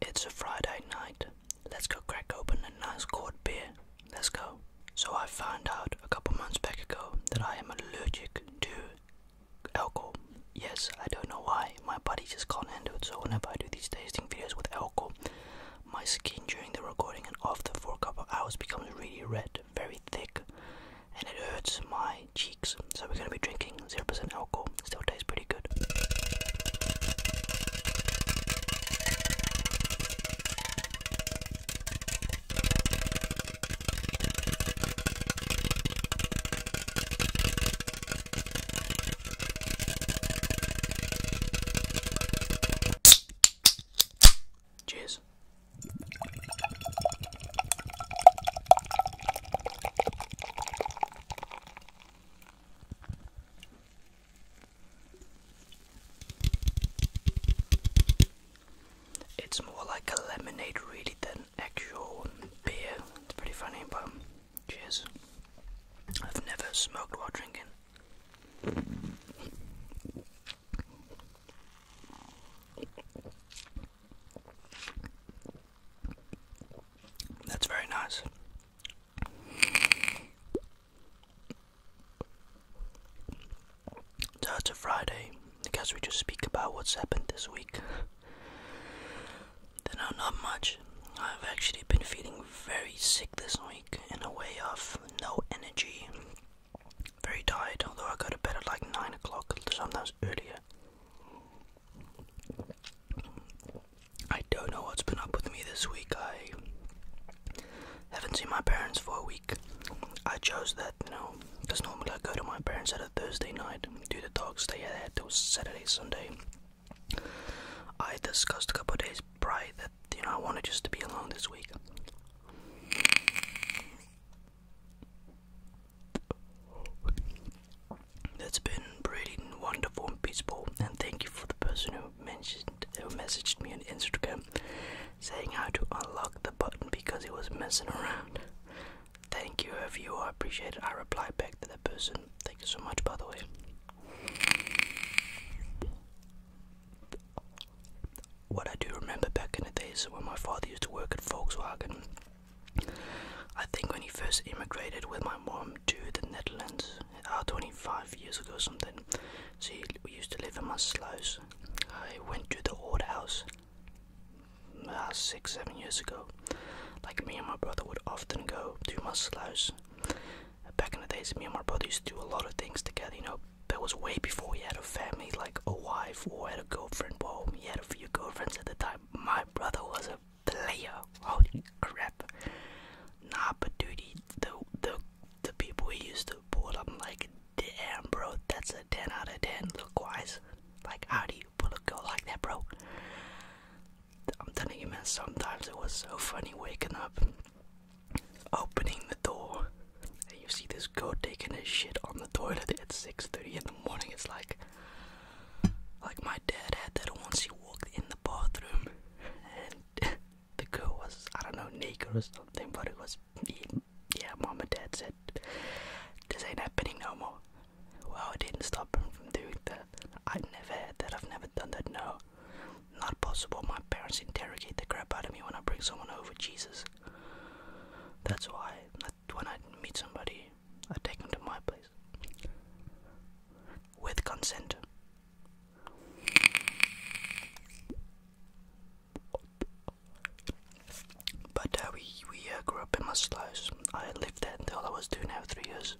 It's a Friday night. Let's go crack open a nice cold beer. Let's go. So I found out a couple months back ago that I am allergic to alcohol. Yes, I don't know why. My body just can't handle it. So whenever I do these tasting videos with alcohol, my skin during the recording and after for a couple hours becomes really red, very thick, and it hurts my cheeks. So we're gonna be drinking 0% alcohol, still tastes pretty good. Cheers. It's more like a lemonade really than actual beer. It's pretty funny, but cheers. I've never smoked while drinking. That's very nice. So it's a Friday. guess we just speak about what's happened this week. no, not much. I've actually been feeling very sick this week in a way of no energy. Very tired, although I go to bed at like 9 o'clock, sometimes earlier. I don't know what's been up with me this week. I haven't seen my parents for a week. I chose that, you know, because normally I go to my parents at a Thursday night, do the dogs stay had till Saturday, Sunday. I discussed a couple of days prior that, you know, I wanted just to be alone this week. That's been pretty wonderful and peaceful, and thank you for the person who mentioned who messaged me on Instagram saying how to unlock the button because it was messing around. Thank you, if you I appreciate it. I replied back to that person. Thank you so much, by the way. What I do remember back in the days when my father used to work at Volkswagen, I think when he first immigrated with my mom to the Netherlands, uh, 25 years ago or something, See, we used to live in my Maassluis. I went to the old house uh, six, seven years ago. Like me and my brother would often go to my Maassluis. Back in the days, me and my brother used to do a lot of things together, you know. That was way before we had a family, like a wife or had a girlfriend. Well, he had a few girlfriends at the time. My brother was a player. Holy crap! Nah, but dude, the the the people we used to pull, them, like, damn, bro, that's a ten out of ten look wise. Like, how do you pull a girl like that, bro? I'm telling you, man. Sometimes it was so funny waking up, opening the door, and you see this girl taking a shit on the toilet at 6:30 in the morning. It's like, like my dad had that once he walked in the bathroom and the girl was, I don't know, naked or something, but it was, yeah, mom and dad said, this ain't happening no more. Well, it didn't stop him from doing that. I never had that, I've never done that, no. Not possible, my parents interrogate the crap out of me when I bring someone over, Jesus. That's why, when I meet somebody, I take him to my place. With consent. But uh, we, we uh, grew up in Muslims. I lived there until I was two and a half, three years.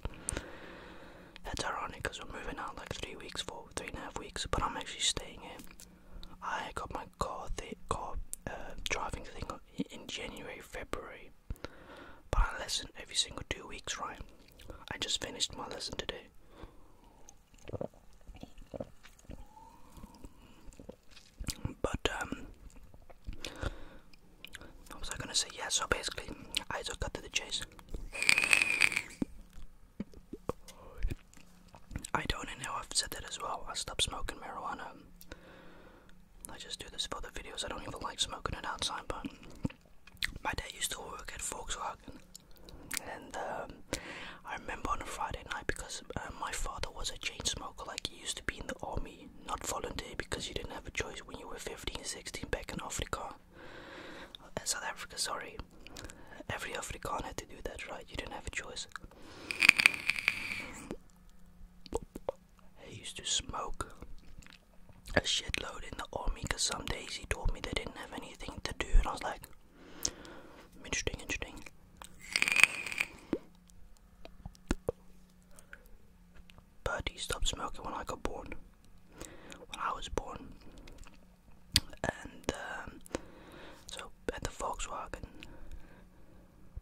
That's ironic because we're moving out like three weeks, four, three and a half weeks, but I'm actually staying here. I got my car, car uh, driving thing in January, February. But I listen every single two weeks, right? I just finished my lesson today. But um what was I gonna say? Yeah, so basically I just cut to the chase. I don't know, I've said that as well. I stopped smoking marijuana I just do this for the videos. I don't even like smoking it outside, but my dad used to work at Volkswagen. And um, I remember on a Friday night because uh, my father was a chain smoker, like he used to be in the army, not volunteer because you didn't have a choice when you were 15, 16 back in Africa. Uh, South Africa, sorry. Every African had to do that, right? You didn't have a choice. I used to smoke a shitload in the army because some days he told me they didn't have anything to do, and I was like, interesting, interesting. But he stopped smoking when I got born, when I was born. And um, so at the Volkswagen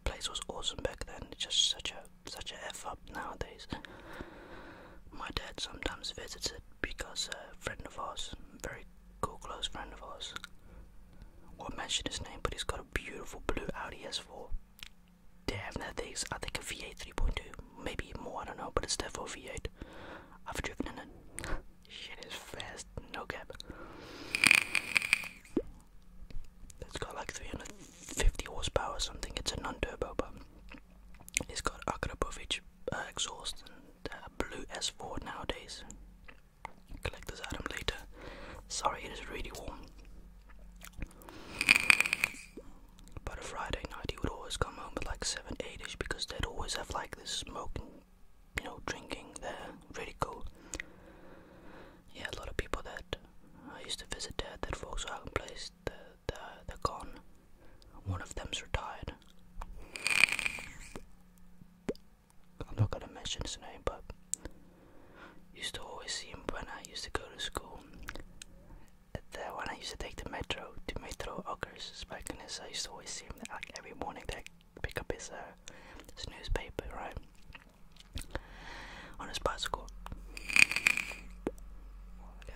place was awesome back then. It's just such a such a f up nowadays. My dad sometimes visits it because a friend of ours, very cool close friend of ours, won't mention his name, but he's got a beautiful blue Audi S4. They have that thing's I think a V8 3.2, maybe more. I don't know, but it's definitely a V8. I've driven in it. Shit is fast, no cap. It's got like 350 horsepower or something. It's a non-turbo, but it's got Akrapovic uh, exhaust and uh, blue S4 nowadays. Collect this item later. Sorry, it is really warm. But a Friday night, he would always come home at like 7, 8ish because they'd always have like this smoking you know, drinking there. pretty cool. Yeah, a lot of people that I used to visit there, that Volkswagen place, the, the, they're gone. One of them's retired. I'm not gonna mention his name, but used to always see him when I used to go to school. There, when I used to take the metro to Metro Ockers back in this, I used to always see him like every morning. That pick up uh, his, newspaper, right? On his bicycle.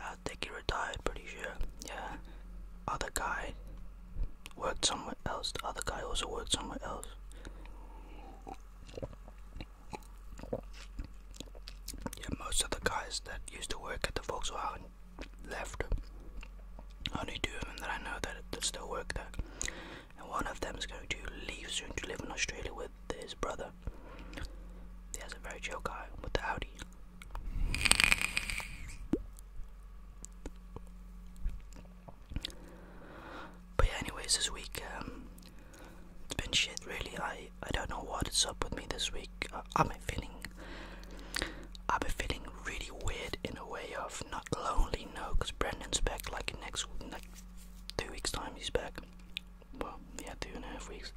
I think he retired, pretty sure. Yeah. Other guy worked somewhere else. The other guy also worked somewhere else. Yeah, most of the guys that used to work at the Volkswagen left. Only two of them that I know that, that still work there and one of them is going to leave soon to live in Australia with his brother. He has a very chill guy with the Audi. But yeah, anyways, this week um, it's been shit. Really, I I don't know what is up with me this week. I've been feeling I've been feeling really weird in a way of not lonely, no, because Brendan's back like next, like two weeks' time, he's back. Well, yeah, two and a half weeks.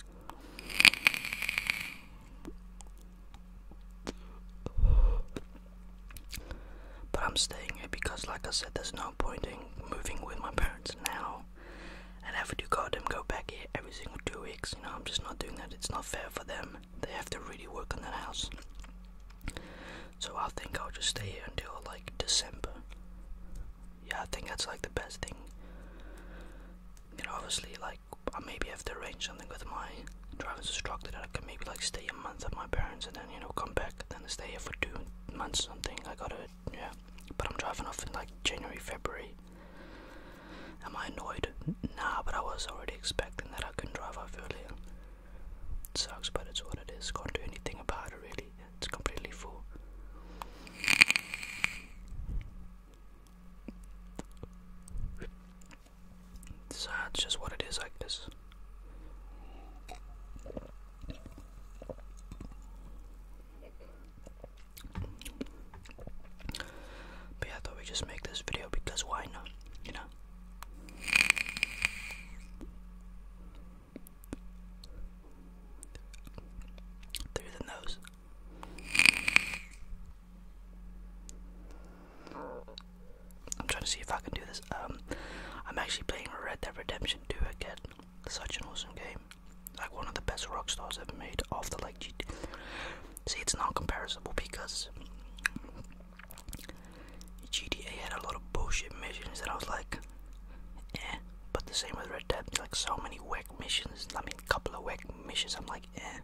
But I'm staying here because, like I said, there's no point in moving with my parents now and having to go them go back here every single two weeks. You know, I'm just not doing that. It's not fair for them they have to really work on that house. So I think I'll just stay here until like December. Yeah, I think that's like the best thing. You know, obviously, like I maybe have to arrange something with my driving instructor that I can maybe like stay a month at my parents and then you know come back, then stay here for two months or something. I gotta, yeah. But I'm driving off in like January, February. Am I annoyed? Nah, but I was already expecting that I couldn't drive off earlier sucks, but it's what it is. Can't do anything about it, really. It's completely full. So it's just what it is, I guess. But I thought we just make this video because why not? You know, through the nose. I'm trying to see if I can do this. Um, I'm actually playing Red Dead Redemption 2 again. Such an awesome game. Like one of the best rock stars ever made. After like, G see, it's not comparable because GDA had a lot of bullshit missions that I was like, eh. But the same with Red Dead, like so many whack missions. I mean, couple of whack missions. I'm like, eh.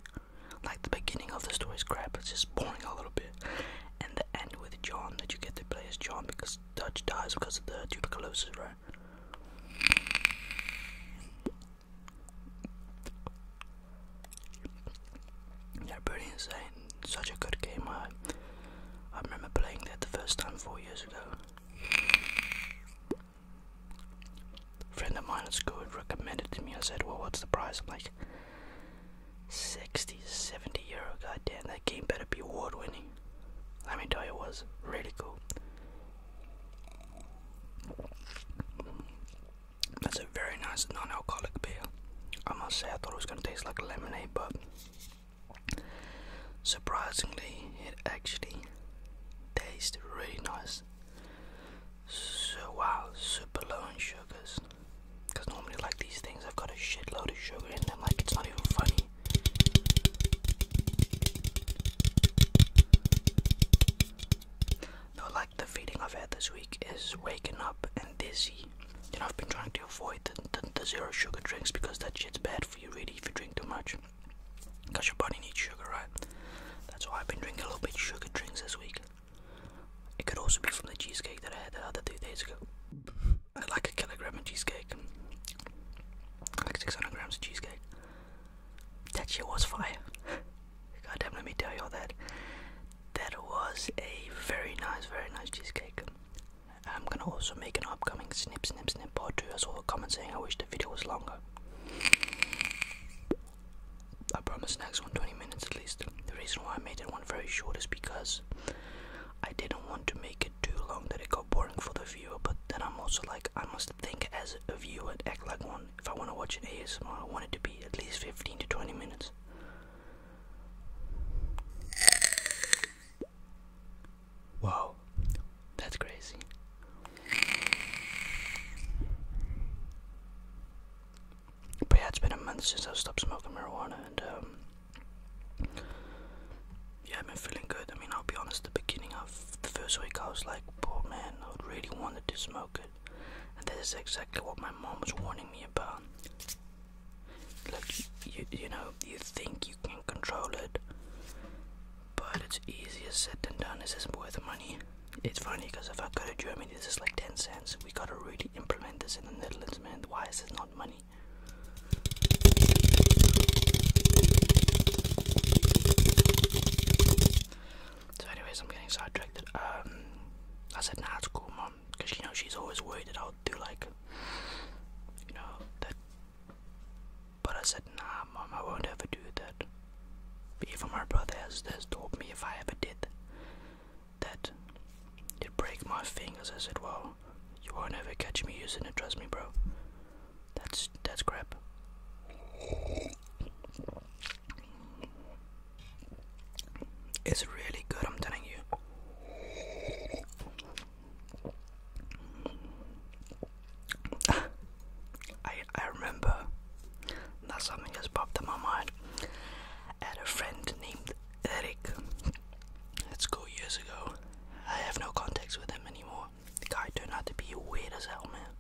Like the beginning of the story is crap. It's just boring a little bit. And the end with John that you get to play as John because Dutch dies because of the tuberculosis, right? Yeah, pretty insane. Such a good game. I, remember playing that the first time four years ago. friend of mine at school recommended to me. I said, Well, what's the price? I'm like, 60, 70 euro. God damn, that game better be award winning. Let me tell you, it was really cool. That's a very nice non-alcoholic beer. I must say I thought it was gonna taste like lemonade, but surprisingly it actually tastes really nice. So wow, super low in sugars. normally like these things I've got a shitload of sugar in them, like it's not even funny. No, like the feeling I've had this week is waking up and dizzy. You know, I've been trying to avoid the, zero sugar drinks because that shit's bad for you, really, if you drink too much. Because your body needs sugar, right? That's why I've been drinking a little bit sugar drinks this week. It could also be from the cheesecake that I had the other two days ago. I like a kilogram of cheesecake. Like 600 grams of cheesecake. That shit was fire. God damn, let me tell y'all that that was a very nice, very nice cheesecake. I'm gonna also make an upcoming snip, snip, snip part too. I saw a comment saying I wish the video was longer. I promise next one 20 minutes at least. The reason why I made that one very short is because I didn't want to make it too long that it got boring for the viewer, but then I'm also like, I must think as a viewer and act like one. If I want to watch it. AS ASMR, I want it to be at least 15 to 20 minutes. Wow, that's crazy. But yeah, it's been a month since i stopped smoking marijuana, and um, yeah, I've been feeling good. I mean, I'll be honest, the beginning of the first week I was like, oh man, I really wanted to smoke and this is exactly what my mom was warning me about. Like, you, you know, you think you can control it, but it's easier said than done. This isn't worth money. It's funny because if I go to Germany, this is like 10 cents. We gotta really implement this in the Netherlands, man. Why is this not money? So, anyways, I'm getting sidetracked. Um, I said, nah, it's cool, mom, because you know she's always worried that I'll do like, you know, that. But I said, nah, mom, I won't ever do that. Even my brother has, has told me if I ever did that, it'd break my fingers. I said, well, you won't ever catch me using it. Trust me, bro. That's that's crap. It's really good, I'm telling you. I I remember that something just popped in my mind. had a friend named Eric. Let's years ago. I have no contacts with him anymore. The guy turned out to be weird as hell, man.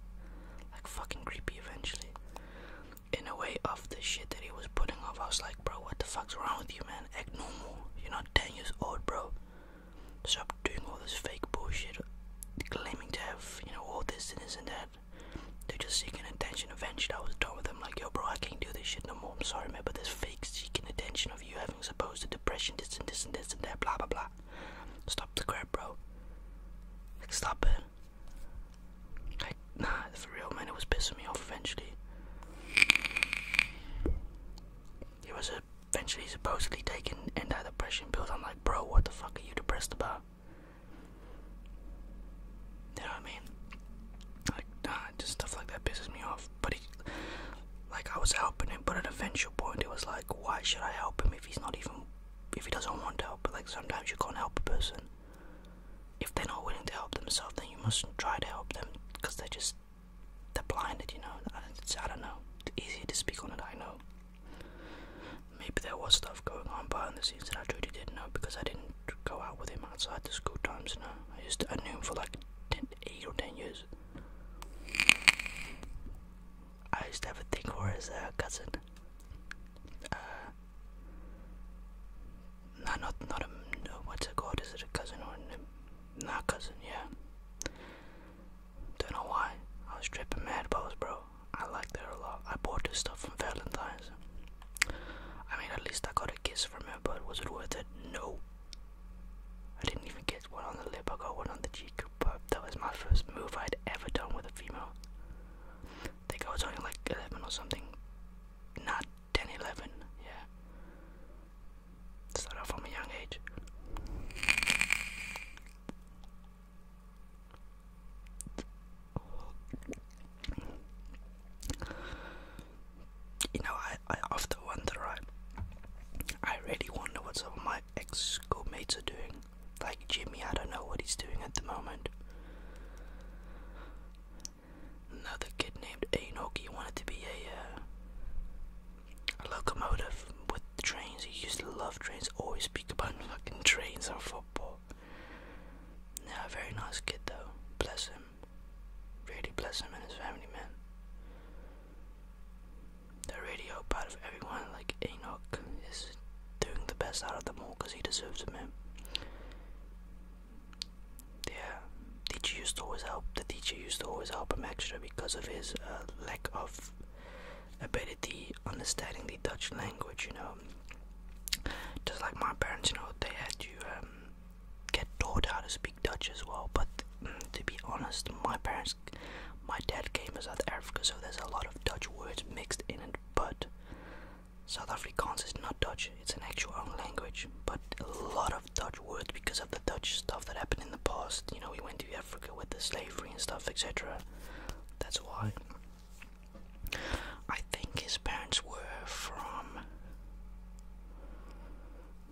Like fucking creepy eventually in a way of the shit that he was putting off. I was like, bro, what the fuck's wrong with you, man? Act normal. You're not 10 years old, bro. Stop doing all this fake bullshit, claiming to have, you know, all this and this and that. They're just seeking attention. Eventually, I was done with them, like, yo, bro, I can't do this shit no more. I'm sorry, man, but this fake seeking attention of you having supposed depression, this and this and this and that, blah, blah, blah. Stop the crap, bro. stop it nah, for real, man, it was pissing me off eventually. He was eventually supposedly taking anti-depression pills. I'm like, bro, what the fuck are you depressed about? You know what I mean? Like, nah, just stuff like that pisses me off. But like, I was helping him, but at an eventual point, it was like, why should I help him if he's not even if he doesn't want to help, like sometimes you can't help a person. If they're not willing to help themselves, then you must try to help them because they're just they're blinded, you know. I don't know. It's easier to speak on it, I know. Maybe there was stuff going on behind the scenes that I truly didn't know because I didn't go out with him outside the school times. No, I used to, I knew him for like 10, eight or ten years. I used to have a thing for his uh, cousin. Uh, nah, not not a no, what's it called? Is it a cousin or a cousin? Yeah. Don't know why. I was tripping mad balls, bro. I liked her a lot. I bought her stuff from Valentine's. I mean, at least I got a kiss from her, but was it worth it? No. I didn't even get one on the lip. I got one on the but that was my first move I'd ever done with a female. I think I was only like 11 or something. Not 10, yeah. Start off from a young age. You know, I, I often wonder, right? I really wonder what some of my ex schoolmates are doing. Like Jimmy, I don't know what he's doing at the moment. Another kid named Enoki wanted to be a, uh, locomotive with the trains. He used to love trains, always speak about fucking trains and football. Yeah, very nice kid though. Bless him. Really bless him and his family, man the radio part of everyone. Like Enoch is doing the best out of them all because he deserves it, man. Yeah, teacher used to always help. The teacher used to always help him extra because of his uh, lack of ability understanding the Dutch language. You know, just like my parents, you know, they had to um, get taught how to speak Dutch as well. But mm, to be honest, my parents my dad came to South Africa, so there's a lot of Dutch words mixed in it, but South African's is not Dutch, it's an actual own language, but a lot of Dutch words because of the Dutch stuff that happened in the past. You know, we went to Africa with the slavery and stuff, etc. That's why. I think his parents were from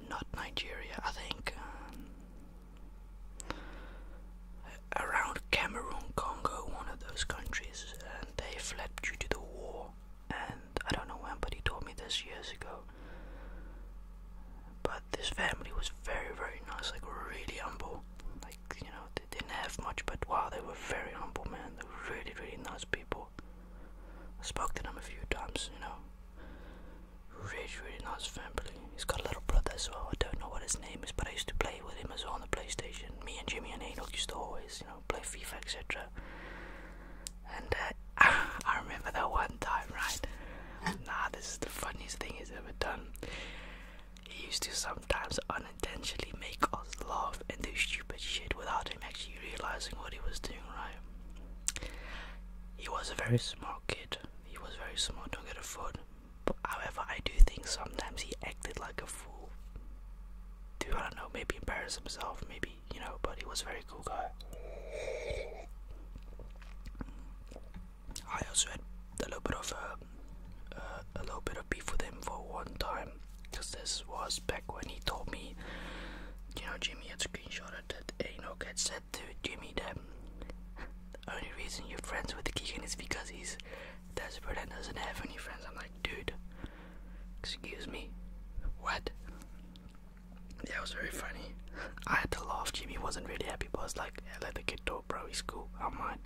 not Nigeria, I think around Cameroon, Congo, one of those countries, and they fled due to the war. And I don't know when, but he told me this years ago. But this family was very, very nice, like really humble. Like, you know, they didn't have much, but wow, they were very humble, man. They were really, really nice people. I spoke to them a few times, you know. Really, really nice family. He's got a little brother as well. I don't know what his name is, but I used to play with him as well on the PlayStation. Me and Jimmy and Enoch used to always, you know, play FIFA, etc. And uh, I remember that one time, right? nah, this is the funniest thing he's ever done. He used to sometimes unintentionally make us laugh and do stupid shit without him actually realizing what he was doing, right? He was a very smart kid, he was very smart, don't get a foot. But however, I do think sometimes he acted like a fool. Do I don't know, maybe embarrass himself, maybe you know. But he was a very cool guy. I also had a little bit of um, uh, a, little bit of beef with him for one time, because this was back when he told me, you know, Jimmy had screenshotted that Enoch had said to Jimmy that the only reason you're friends with the kid is because he's desperate and doesn't have any friends. I'm like, dude, excuse me, what? Yeah, it was very funny. I had to laugh. Jimmy wasn't really happy, but I was like, let the kid talk, bro. He's cool. I'm mine.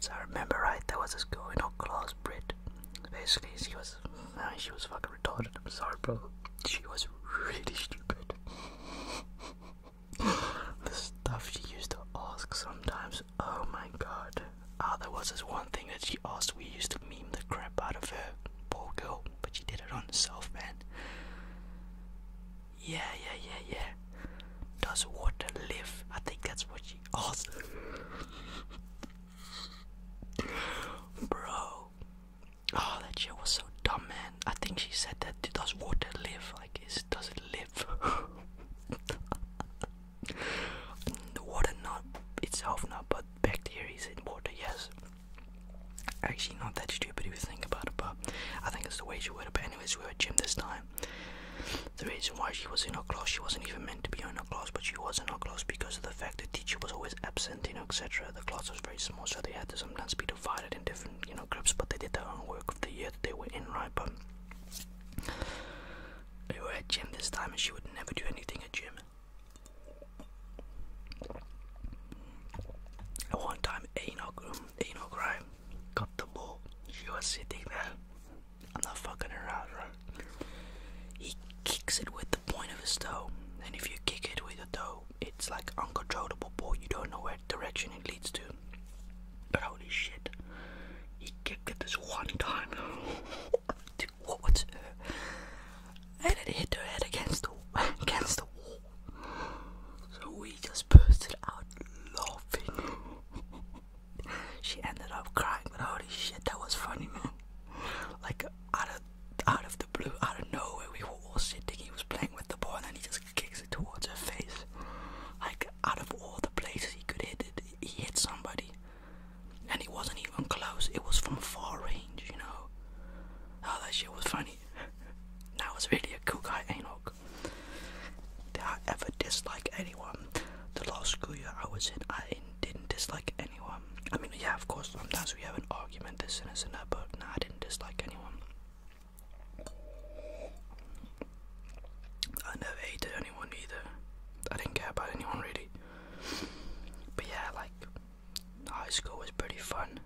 So I remember right, there was a school in our class, Brit. Basically, she was, uh, she was fucking retarded. I'm sorry, bro. She was really stupid. the stuff she used to ask sometimes. Oh my god. Ah, there was this one thing that she asked. We used to meme the crap out of her. Poor girl. But she did it on herself, man. Yeah, yeah, yeah, yeah. Does water live? I think that's what she asked. Bro, Oh, that shit was so dumb, man. I think she said that does water live? Like, is does it live? the water not itself not, but bacteria is in water. Yes. Actually, not that stupid if you think about it, but I think it's the way she worded it. But anyways, we were at gym this time. The reason why she was in her class, she wasn't even meant to be in her class, but she was in her class because of the fact that teacher was always absent you know etc. The class was very small, so they had to sometimes be divided in different you know groups. But they did their own work of the year that they were in, right? But they were at gym this time, and she would never do anything at gym. At one time, Enoch, um, Enoch, right, got the ball. She was sitting there. I'm not fucking around, out, He kicks it with the point of his toe, and if you kick it with your toe, it's like uncontrollable ball. You don't know where direction it leads to. But holy shit, he kicked it this one time. Dude, what? what? And it hit her head against the against the wall. So we just bursted out laughing. she ended up crying, but holy shit, that was funny, man. Like out of out of the blue, out of nowhere, we were all sitting, he was playing with the ball, and then he just kicks it towards her face. Like, out of all the places he could hit it, he hit somebody. And he wasn't even close, it was from far range, you know. Oh, that shit was funny. that was really a cool guy, Enoch. Did I ever dislike anyone? The last school year I was in, I didn't dislike anyone. I mean, yeah, of course, sometimes we have an argument, this and this and that, but nah, I didn't dislike anyone. I never hated anyone either. I didn't care about anyone really. But yeah, like, high school was pretty fun.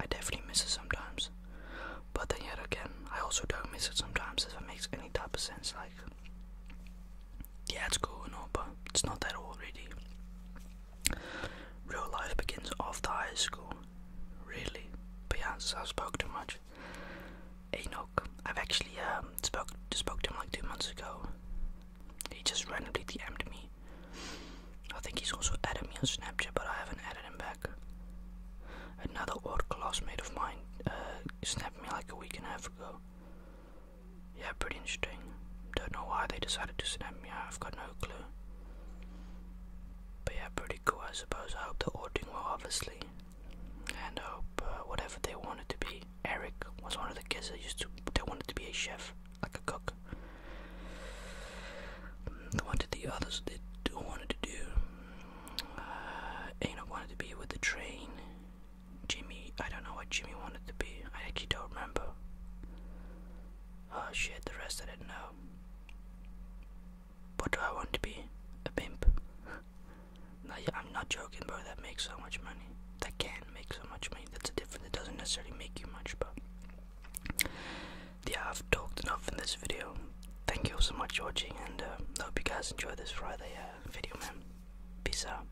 I definitely miss it sometimes. But then yet again, I also don't miss it sometimes, if it makes any type of sense. Like, yeah, it's cool and all, but it's not that old really. Real life begins after high school. Really? But yeah, I spoke too much. Enoch, I've actually um, spoke, spoke to him like two months ago. He just randomly DM'd me. I think he's also added me on Snapchat, but I haven't added him back. Another old classmate of mine uh, snapped me like a week and a half ago. Yeah, pretty interesting. Don't know why they decided to send me out, I've got no clue. But yeah, pretty cool, I suppose. I hope they're all doing well, obviously. And hope uh, whatever they wanted to be. Eric was one of the kids that used to, they wanted to be a chef, like a cook. Mm, what did the others did wanted to do? Uh, wanted to be with the train. Jimmy, I don't know what Jimmy wanted to be. I actually don't remember. Oh shit, the rest I didn't know. What do I want to be? A pimp? no, yeah, I'm not joking, bro. That makes so much money. That can make so much money. That's a difference. It doesn't necessarily make you much, but yeah, I've talked enough in this video. Thank you all so much for watching, and uh, I hope you guys enjoy this Friday uh, video, man. Peace out.